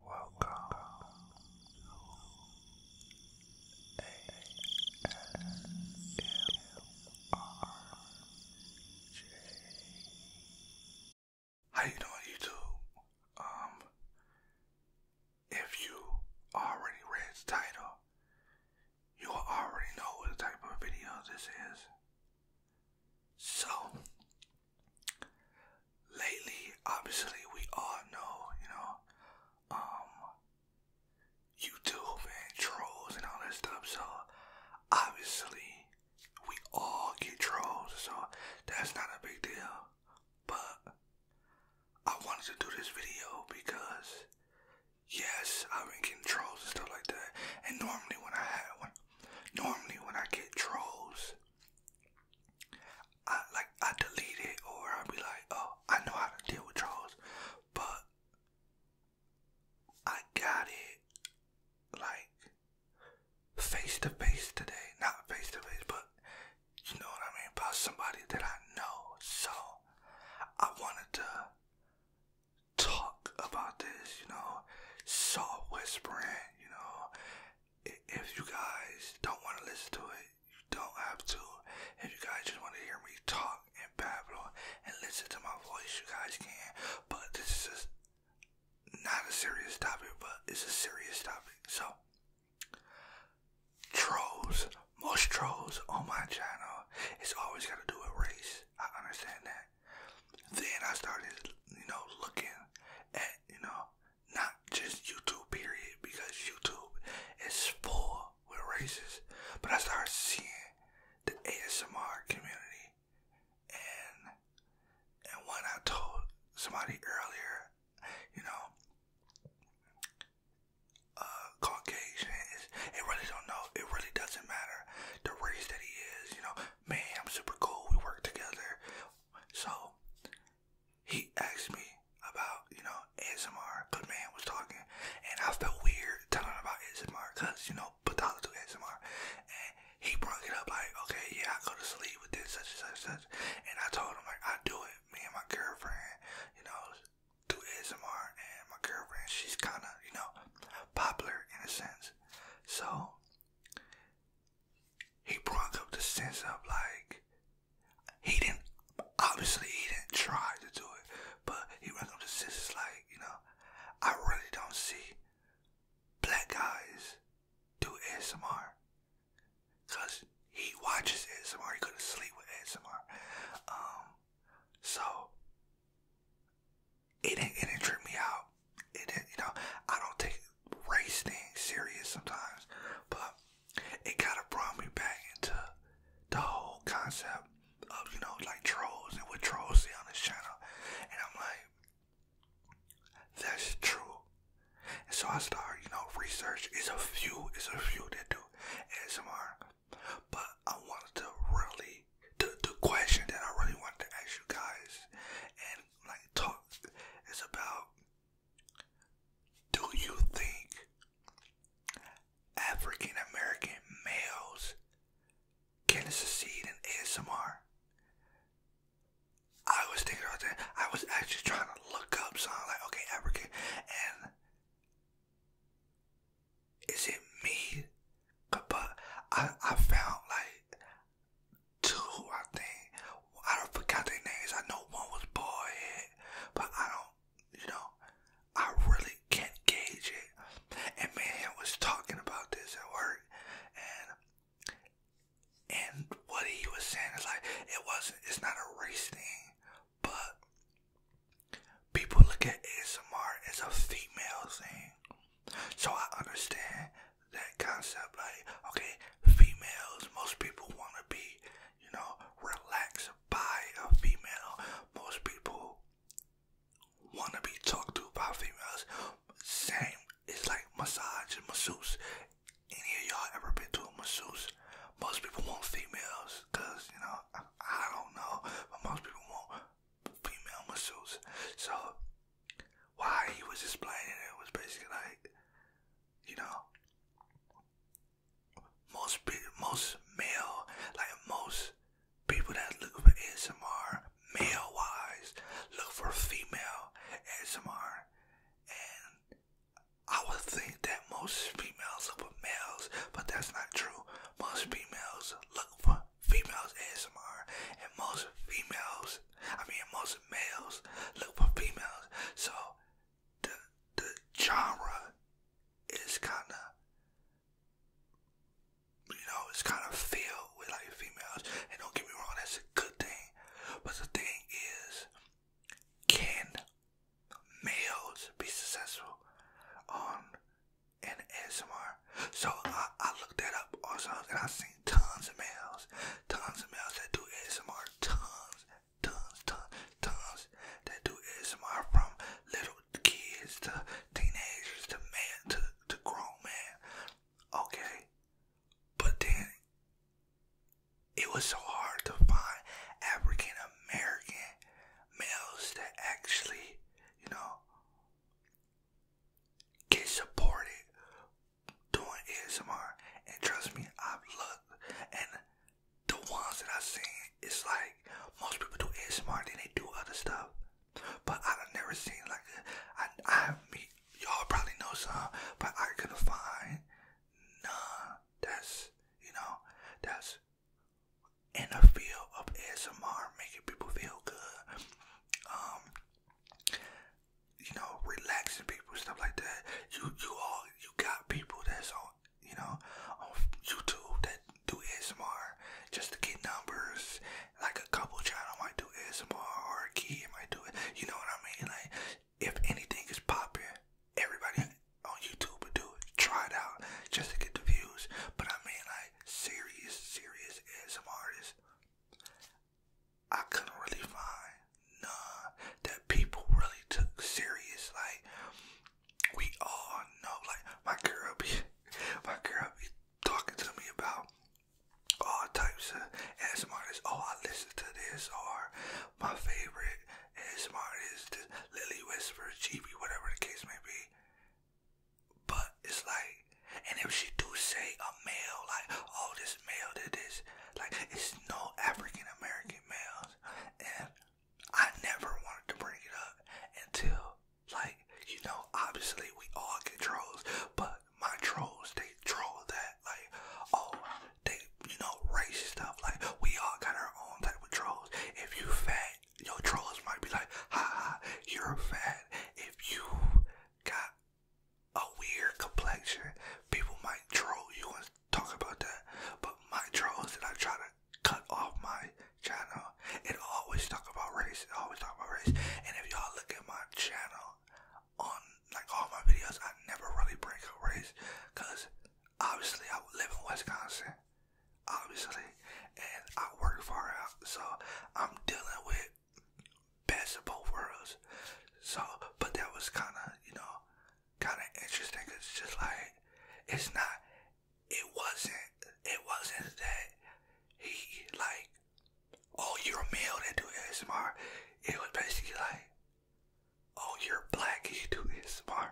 Welcome to How you doing, YouTube? Um, if you already read the title, you already know what type of video this is. So, lately, obviously, we all know, you know, um, YouTube and trolls and all that stuff. So, obviously, we all get trolls. So, that's not a big deal. But, I wanted to do this video because, yes, I've been getting trolls and stuff like that. And normally, when I have one, normally when I get trolls, I like I delete it or I'll be like, oh, I know how to deal with trolls, but I got it like face to face today. Not face to face, but you know what I mean about somebody that I know. So I wanted to talk about this, you know, soft whispering, you know, if you guys don't want to listen to it, you don't have to. If you guys just want to hear me talk and babble and listen to my voice, you guys can. But this is just not a serious topic, but it's a serious topic. So, trolls, most trolls on my channel, it's always got to do with race. I understand that. Then I started, you know, looking at, you know, not just YouTube period because YouTube is full with racists. But I started seeing the ASMR community and and when I told somebody earlier, you know, uh, Caucasian it really don't know, it really doesn't matter the race that he is, you know, man, I'm super cool, we work together, so he asked me about, you know, ASMR. Good man was talking, and I felt weird telling him about ASMR because, you know, Patala do ASMR. And he brought it up like, okay, yeah, I go to sleep with this, such and such, such. And I told him, like, I do it. Me and my girlfriend, you know, do ASMR. And my girlfriend, she's kind of, you know, popular in a sense. So he brought up the sense of like he didn't obviously he didn't try to do it, but he brought up the sense like you know I really don't see black guys do ASMR because he watches ASMR. He couldn't sleep with ASMR, um, so it didn't it did trip me out you know, I don't take race things serious sometimes, but it kind of brought me back into the whole concept of, you know, like trolls and what trolls see on this channel. And I'm like, that's true. so I start, you know, research. It's a few, it's a few that do ASMR. But I wanted to really, the, the question that I really wanted to ask you guys, and like talk it's about do you think African American males can succeed in ASMR? I was thinking about that. I was actually trying to look up so I'm like okay African and is it me? But I I found like two, I think. I don't forgot their names. I know one was Ballhead, but I don't, you know, I really can't gauge it. And man was talking about this at work, and and what he was saying is like it wasn't. It's not a race thing, but people look at ASMR as a female thing. So I understand that concept. Like, okay, females, most people want to be, you know, relaxed by a female. Most people want to be talked to by females. Same, it's like massage and masseuse. Any of y'all ever been to a masseuse? Most people want females, cause you know I, don't know, but most people want female masseuse. So why he was explaining it was basically like, you know, most most male, like most people that look for ASMR, male wise, look for female ASMR, and I would think that most females look for males, but that's not true. Most females look for females ASMR, and most females, I mean most males, look for females. So the the genre is kind of, you know, it's kind of filled with like females. And don't get me wrong, that's a good thing. But the thing is, can males be successful on an ASMR? So I, I looked that up also, and I seen tons of males, tons of males that do ASMR, tons, tons, tons, tons that do ASMR from little kids to teenagers to man to, to grown man. Okay, but then it was so hard to find African American males that actually, you know, get supported doing ASMR. And trust me, I've looked and the ones that I've seen, it's like most people do ASMR, then they do other stuff. But I've never seen like I I mean y'all probably know some, but I couldn't find none that's you know that's in the field of ASMR making people feel good. Um you know, relaxing people, stuff like that. You you all you got people that's on you know on YouTube that do ASMR just to get numbers. Like a couple channel might do ASMR or a kid might do it. You know what I mean? Like if anything is popping, everybody on YouTube do it. Try it out just to get the views. But I mean like serious, serious ASMR artists I couldn't really find none that people really took serious. Like we all know, like my girl be, my talking to me about all types of ASMR. Artists. Oh, I listen to this, or my favorite ASMR is this Lily Whisper, GB, whatever the case may be. But it's like, and if she do say a male, like, oh, this male did like, it's no African American males. And I never wanted to bring it up until, like, you know, obviously we all get trolls, but my trolls, they troll that, like, oh, they, you know, race stuff. Like, we all got our own type of trolls. If you fat, your trolls might be like, ha ha, you're fat. If you got a weird complexion, people might troll you and talk about that. But my trolls that I try to cut off my channel, it always talk about race. always talk about race. And if y'all look at my channel on like all my videos, I never really break a race, cause obviously I live in Wisconsin, obviously, and I work far out, so I'm dealing with best of both worlds. So, but that was kind of, you know, kind of interesting it's just like, it's not, it wasn't, it wasn't that he, like, oh, you're a male that do ASMR. It was basically like, oh, you're black and you do ASMR.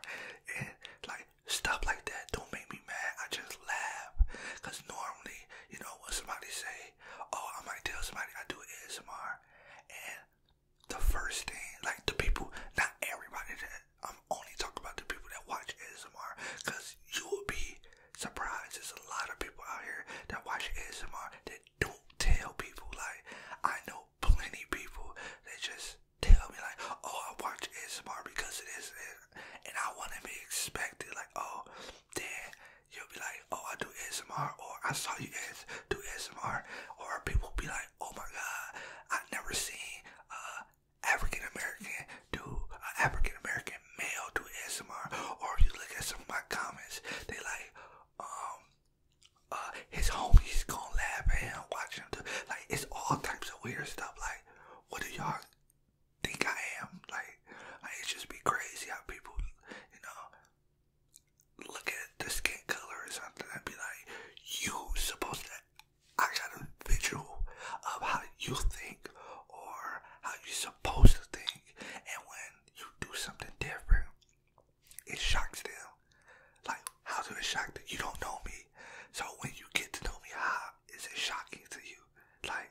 And, like, stuff like that don't make me mad, I just laugh. Cause normally, you know, when somebody say, oh, I might tell somebody I do ASMR, and the first thing, like the people, not everybody that, I'm only talking about the people that watch ASMR, cause you will be surprised. There's a lot of people out here that watch ASMR that don't tell people. Like, I know plenty people that just tell me like, oh, I watch ASMR because it is and I want to be expected. Like, oh, then you'll be like, oh, I do ASMR, or I saw you guys do ASMR, or people be like, oh my god, i never seen uh African American do uh, African American male do ASMR. Or if you look at some of my comments, they like, um, uh, his homies gonna laugh at him watching him do. Like, it's all types of weird stuff. Like, what do y'all think I am. Like, like just be crazy how people, you know, look at the skin color or something and be like, you supposed to, I got a visual of how you think or how you supposed to think. And when you do something different, it shocks them. Like, how does it shock that you don't know me? So when you get to know me, how is it shocking to you? Like,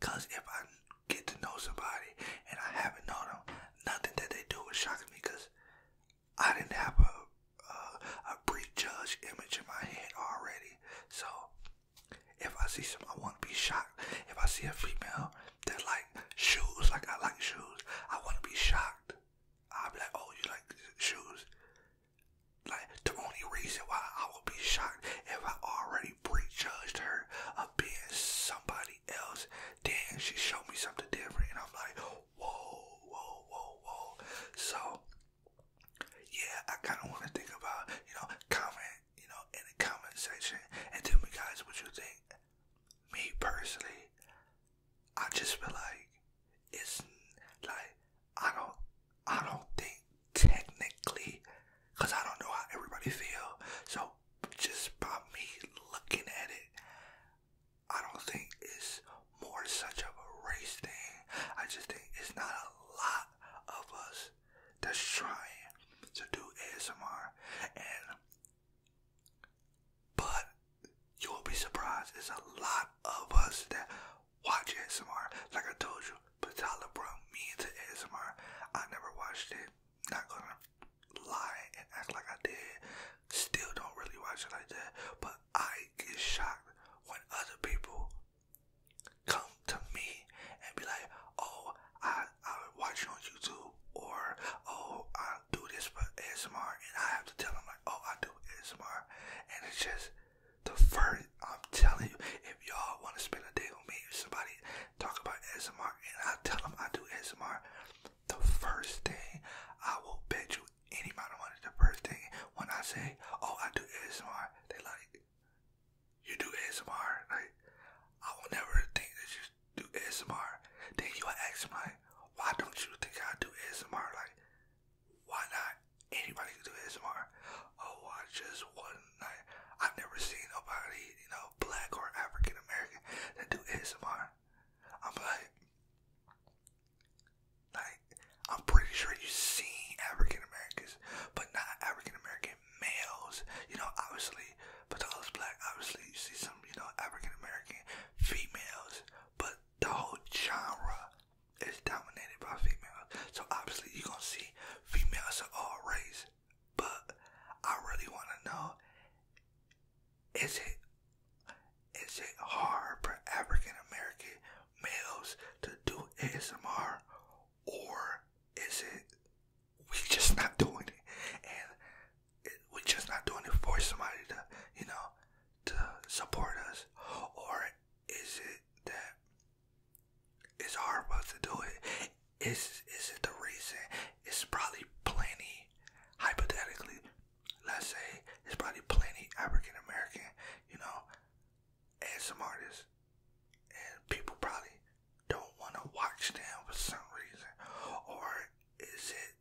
Cause if I get to know somebody and I haven't known them, nothing that they do will shock me. Cause I didn't have a a, a prejudged image in my head already. So if I see some, I want to be shocked. If I see a female that like shoes, like I like shoes, I want to be shocked. I'll be like, oh, you like shoes? Like, the only reason why I would be shocked if I already prejudged her of being somebody else, then she showed me something different, and I'm like, whoa, whoa, whoa, whoa. So, yeah, I kind of want to think about, you know, comment, you know, in the comment section, and tell me guys what you think. Me personally, I just feel like it's like I don't I don't think technically because I don't know how everybody feel. So just by me looking at it, I don't think it's more such of a race thing. I just think it's not a lot of us that's trying to do ASMR and but you'll be surprised There's a lot of us that watch ASMR, like I told you, Patala brought me into ASMR. I never watched it, not gonna lie and act like I did. Still don't really watch it like that, but I get shocked when other people come to me and be like, oh, I, I watch you on YouTube, or oh, I do this for ASMR, and I have to tell them, like, oh, I do ASMR, and it's just, the first, I'm telling you, if y'all want to spend a day with me, if somebody talk about S M R, and I tell them I do S M R, the first thing I will bet you any amount of money, the first thing when I say, oh, I do ASMR, they like, you do ASMR? Like, I will never think that you do S M R. Then you ask me, why don't you think I do ASMR? Like, why not anybody can do ASMR? Oh, I just one night. I've never seen nobody, you know, black or African American that do ASMR. I'm like, like, I'm pretty sure you've seen African Americans, but not African American males. You know, obviously, but the other's black. Obviously, you see some, you know, African American females. But the whole genre it's dominated by females. So obviously you're gonna see females of all race. But I really wanna know is it is it hard for African American males to do ASMR or is it we just not doing it and it, we just not doing it for somebody to you know to support us or is it that it's hard for us to do it? Is is it the reason? It's probably plenty hypothetically. Let's say it's probably plenty African American, you know, as some artists, and people probably don't want to watch them for some reason. Or is it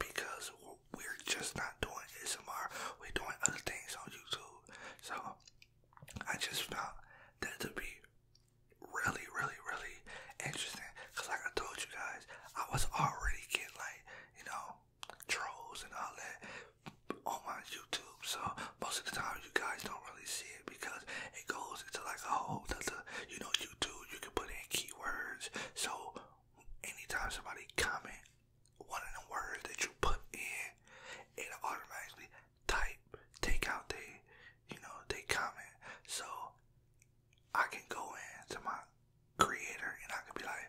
because we're just not doing ASMR. We're doing other things on YouTube. So I just felt that to be really, really, really interesting. Cause like I told you guys, I was already getting like, you know, trolls and all that on my YouTube. So most of the time you guys don't really see it because it goes into like a whole other, you know, YouTube, you can put in keywords. So anytime somebody comment one of the words that you put in, it'll automatically type, take out they, you know, they comment. So I can go into my creator and I can be like,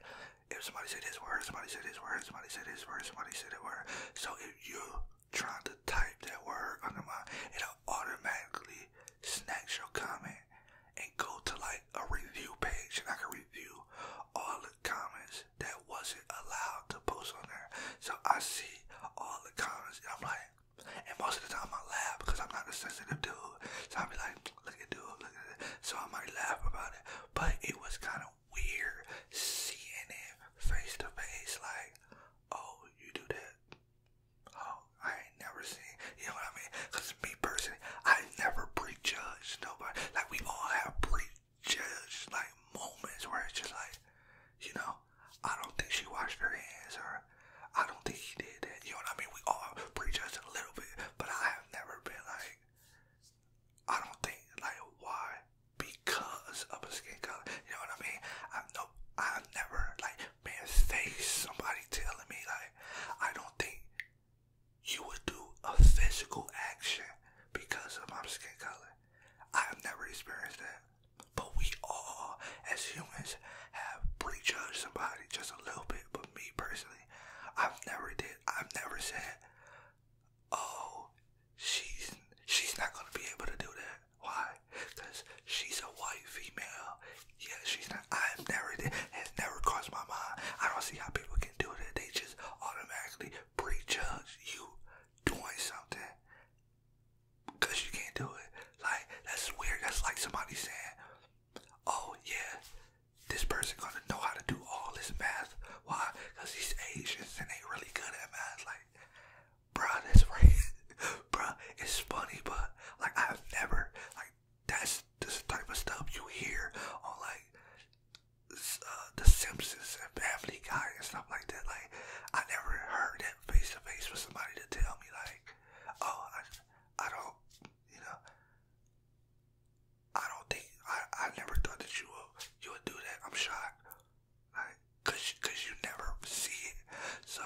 if somebody said this word, somebody said this word, somebody said this word, somebody said it word. So if you're trying to type that word under my, it'll automatically snatch your comment go to like a review page and I can review all the comments that wasn't allowed to post on there. So I see all the comments and I'm like, and most of the time I laugh because I'm not a sensitive dude. So I'll be like, look at dude, look at it. So I might laugh about it. But it was kind of weird seeing it face to face. Like, oh, you do that. Oh, I ain't never seen. You know what I mean? Because me personally, I never breathe prejudge nobody. Like we all have prejudged like moments where it's just like, you know, I don't think she washed her hands or I don't think he did that. You know what I mean? We all prejudge a little bit, but I have never been like, I don't think like why because of a skin color. You know what I mean? I've no, I've never like been faced somebody telling me like, I don't think you would do a physical action because of my skin color. I have never experienced that. But we all, as humans, have prejudged somebody just a little bit. But me personally, I've never did. I've never said, "Oh, she's she's not gonna be able to do that." Why? Because she's a white female. Yeah, she's not. I've never did. Has never crossed my mind. I don't see how people fucking do that. They just automatically prejudge you doing something because you can't do it. Like, that's weird. That's like somebody saying, oh, yeah, this person gonna know how to do all this math. Why? Because these Asians and they really good at math. Like, bruh, that's right. bruh, it's funny, but, like, I've never, like, that's this type of stuff you hear on like uh, The Simpsons and Family Guy and stuff like that. Like I never heard that face to face for somebody to tell me like, oh, I, I don't, you know, I don't think I, I never thought that you would you would do that. I'm shocked, like, cause cause you never see it. So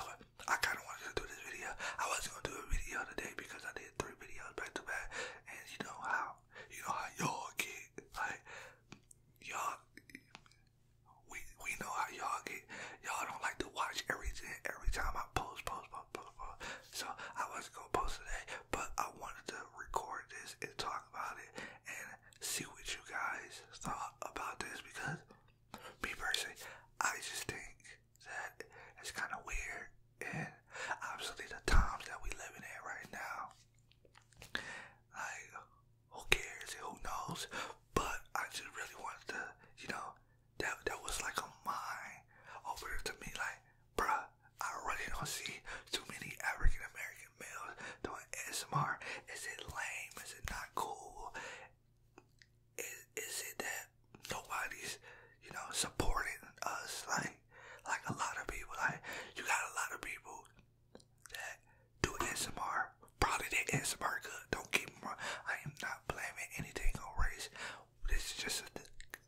I kind of wanted to do this video. I wasn't gonna do a video today because I did three three videos back to back, and you know how you know how y'all get like y'all. We we know how y'all get. Y'all don't like to watch everything every time I post, post, post, post. So I wasn't gonna post today, but I wanted to record this and talk about it and see what you guys thought about this because me personally, I just think that it's kind of weird. And obviously, the times that we living in right now, like who cares who knows? But I just really wanted to, you know, that that was like a mine over to me, like, bruh, I really don't see too many African American males doing ASMR. Is it lame? Is it not cool? Is, is it that nobody's, you know, supporting us like like a lot of people. Like you got a lot of people that do ASMR. Probably they ASMR good. Don't get me wrong. I am not blaming anything on race. This is just a,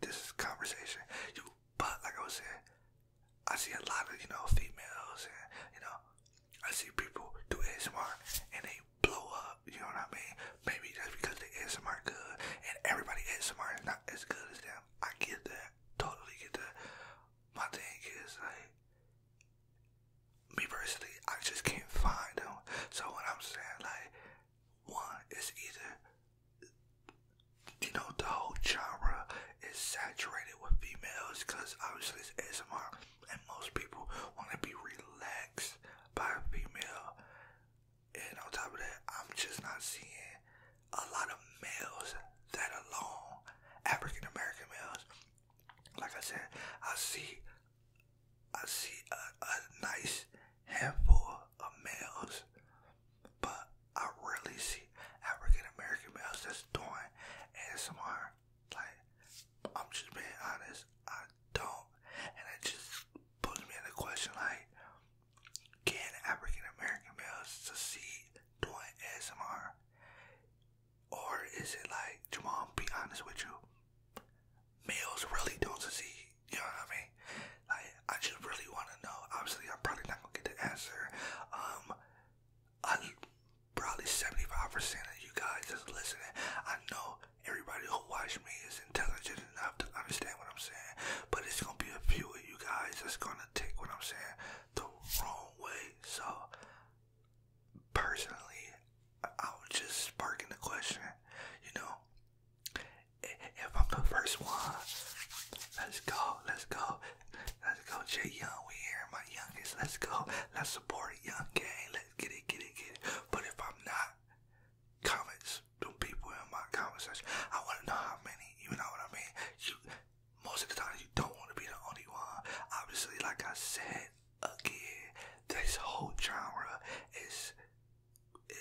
this is conversation. You, but like I was saying, I see a lot of you know females and you know I see people do ASMR and they blow up you know what I mean? Maybe just because the ASMR good, and everybody ASMR is not as good as them. I get that, totally get that. My thing is like, me personally, I just can't find them. So what I'm saying, like, one is either, you know, the whole genre is saturated with females because obviously it's ASMR, and most people want to be relaxed by a female. And on top of that, I'm just not seeing a lot of males that are long, African American males. Like I said, I see, I see a, a nice handful of males, but I rarely see African American males that's doing ASMR. Like, I'm just being honest. I don't, and it just puts me in the question like, can African American males succeed doing ASMR? Or is it like, Jamal, be honest with you, males really don't succeed, you know what I mean? Like, I just really want to know. Obviously, I'm probably not going to get the answer. Um, probably 75% of you guys just listening, I know everybody who watch me is intelligent enough to understand what I'm saying. But it's gonna be a few of you guys that's gonna take what I'm saying the wrong way. So personally, I was just sparking the question, you know. If I'm the first one, let's go, let's go, let's go, Jay Young. We here, my youngest. Let's go, let's support Young Gang. Let's get it, get it, get it. But if I'm not, comments, the people in my comment section. I want to know how many, you know what I mean? You, most of the time, you don't want to be the only one. Obviously, like I said, again, this whole genre is,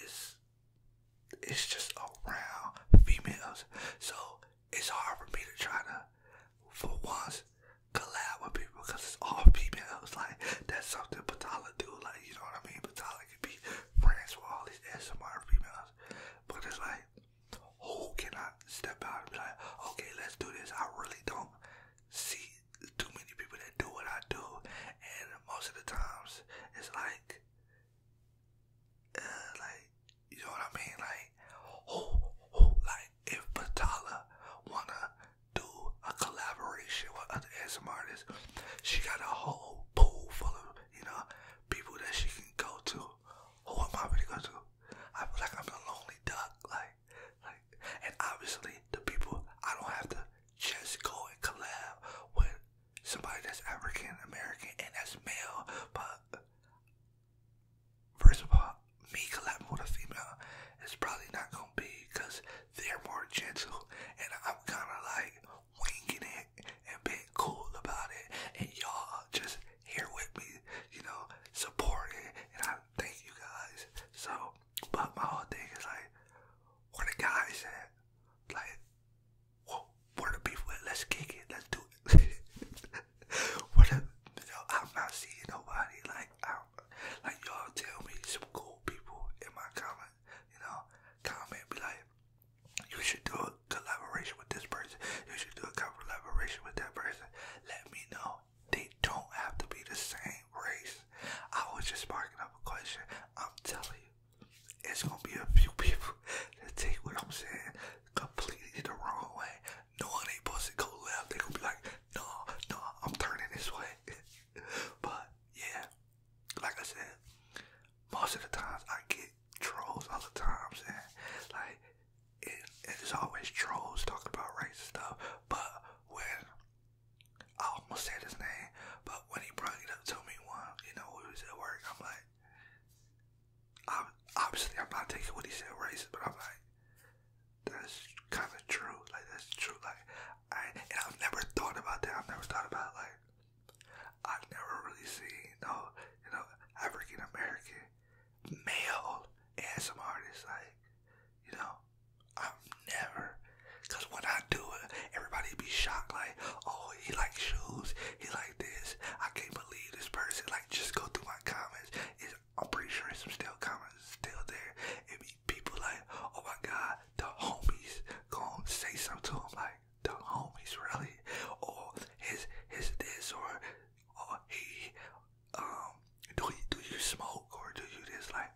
is, it's just around females. So, it's hard for me to try to, for once, collab with people because it's all females. Like, that's something Patala do you know what I mean. But Tyler could be friends with all these SMR females, but it's like who can I step out and be like, okay, let's do this. I really don't see too many people that do what I do, and most of the times it's like, uh, like you know what I mean, like who who like if Patala wanna do a collaboration with other ASMR artists. She got a whole pool full of, you know, people that she can go to. Who am I really gonna go to? I feel like I'm a lonely duck, like, like, and obviously the people I don't have to just go and collab with somebody that's African American and that's male. But first of all, me collabing with a female is probably not gonna be because they're more gentle, and I'm kind of like winging it and being cool about it, and y'all just here with me, you know, supporting, and I thank you guys. So, but my whole thing is like, where the guys at? Like, well, where the people at? Let's kick it, let's do it. what the, you know, I'm not seeing nobody like like y'all tell me some cool people in my comment, you know, comment be like, you should do a collaboration with this person. You should do a collaboration with that person. Let me know. They don't have to be the same race. I was just sparking up a question. I'm telling you, it's gonna be a few people that take what I'm saying completely the wrong way. No one ain't supposed go left. They gonna be like, no, no, I'm turning this way. but yeah, like I said, most of the times I get trolls other times and like it, it's always trolls talking about racist stuff. But when I almost said his name, but when he brought it up to me one, you know, we was at work, I'm like, I'm, obviously I'm not taking what he said racist, but I'm like, that's kind of true. Like that's true. Like I and I've never thought about that. I've never thought about like I've never really seen no you know African American male and some artists like you know i am never because when I do it everybody be shocked like oh he like shoes he like this I can't believe this person like just go through my comments it's, I'm pretty sure some still comments still there it be people like, oh my God, the homies gonna say something to him like the homies really, or his his this or or he um do you, do you smoke or do you this like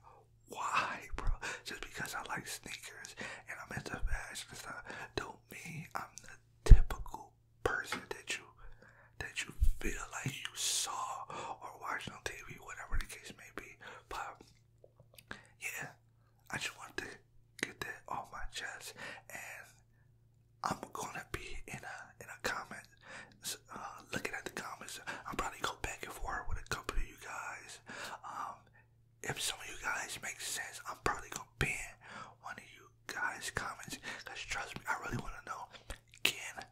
why bro? Just because I like sneakers and I'm into fashion and stuff don't mean I'm the typical person that you that you feel like you saw or watched on TV, whatever the case but yeah, I just want to get that off my chest, and I'm gonna be in a in a comment, uh, looking at the comments. I'll probably go back and forth with a couple of you guys. Um, if some of you guys make sense, I'm probably gonna ban one of you guys' comments. Cause trust me, I really wanna know. Can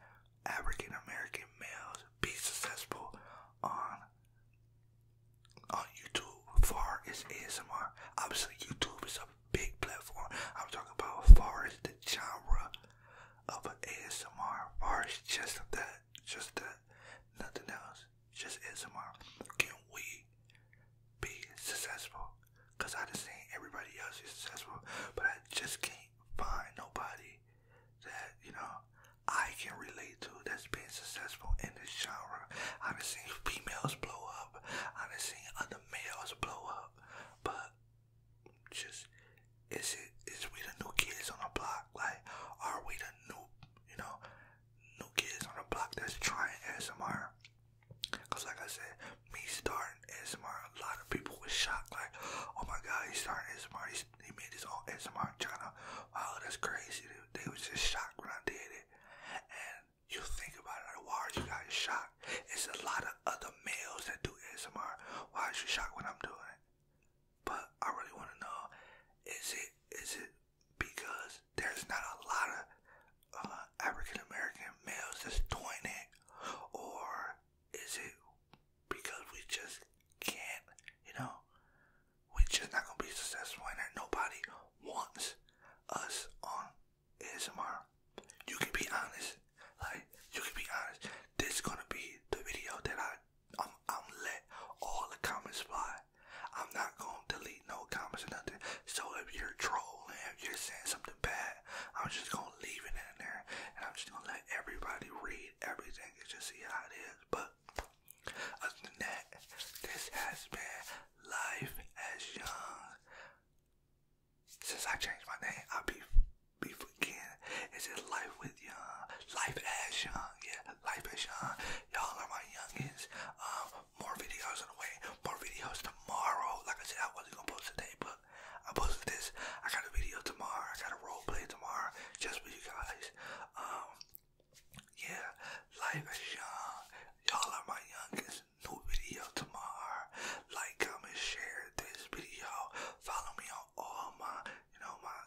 African American males be successful on on YouTube far as ASMR. Obviously YouTube is a big platform. I'm talking about far as the genre of an ASMR, far as just that, just that, nothing else, just ASMR. Can we be successful? Cause I just seen everybody else is successful, but I just can't find nobody that, you know, I can relate to that's been successful in this genre. I done seen females blow up. I done seen other males blow up. But just is it is we the new kids on the block? Like are we the new you know new kids on the block that's trying S M Cause like I said, me starting ASMR, a lot of people was shocked like, oh my god, he's starting S M R. he's they made this all SMR channel. Wow, that's crazy. They, they was just shocked when I did it. And you think about it, like, why are you guys shocked? It's a lot of other males that do SMR. Why is you shocked when I'm doing it? But I really want to know, is it is it because there's not a lot of uh, African American males that's doing it, or is it because we just can't, you know, we just not gonna be successful and nobody wants us on ASMR? You can be honest, like you can be honest. This is gonna be the video that I I'm, I'm let all the comments fly. I'm not gonna delete no comments or nothing. So if you're trolling, if you're saying something bad, I'm just gonna leave it in there, and I'm just gonna let everybody read read everything and just see how it is. But other than that, this has been life as young. Since I changed my name, I'll be be forgetting. It's just life with young, life as young, yeah, life as young. Y'all are my youngins. Um, more videos on the way, more videos tomorrow. Like I said, I wasn't gonna post today, but up. I posted this. I got a video tomorrow. I got a role play tomorrow just for you guys. Um, yeah, life is Y'all are my youngest. New video tomorrow. Like, comment, share this video. Follow me on all my, you know, my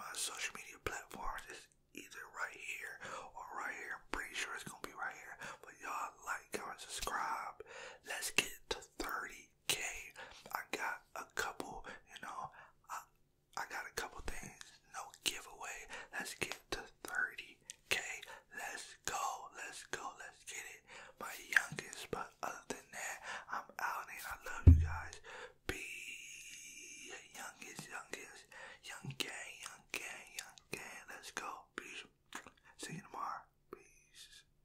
my social media platforms. It's either right here or right here. pretty sure it's gonna be right here. But y'all like, comment, subscribe. Let's get to 30 3k i got a couple you know i i got a couple things no giveaway let's get to 30k let's go let's go let's get it my youngest but other than that i'm out and i love you guys be youngest youngest young gang young gang young gang let's go peace see you tomorrow peace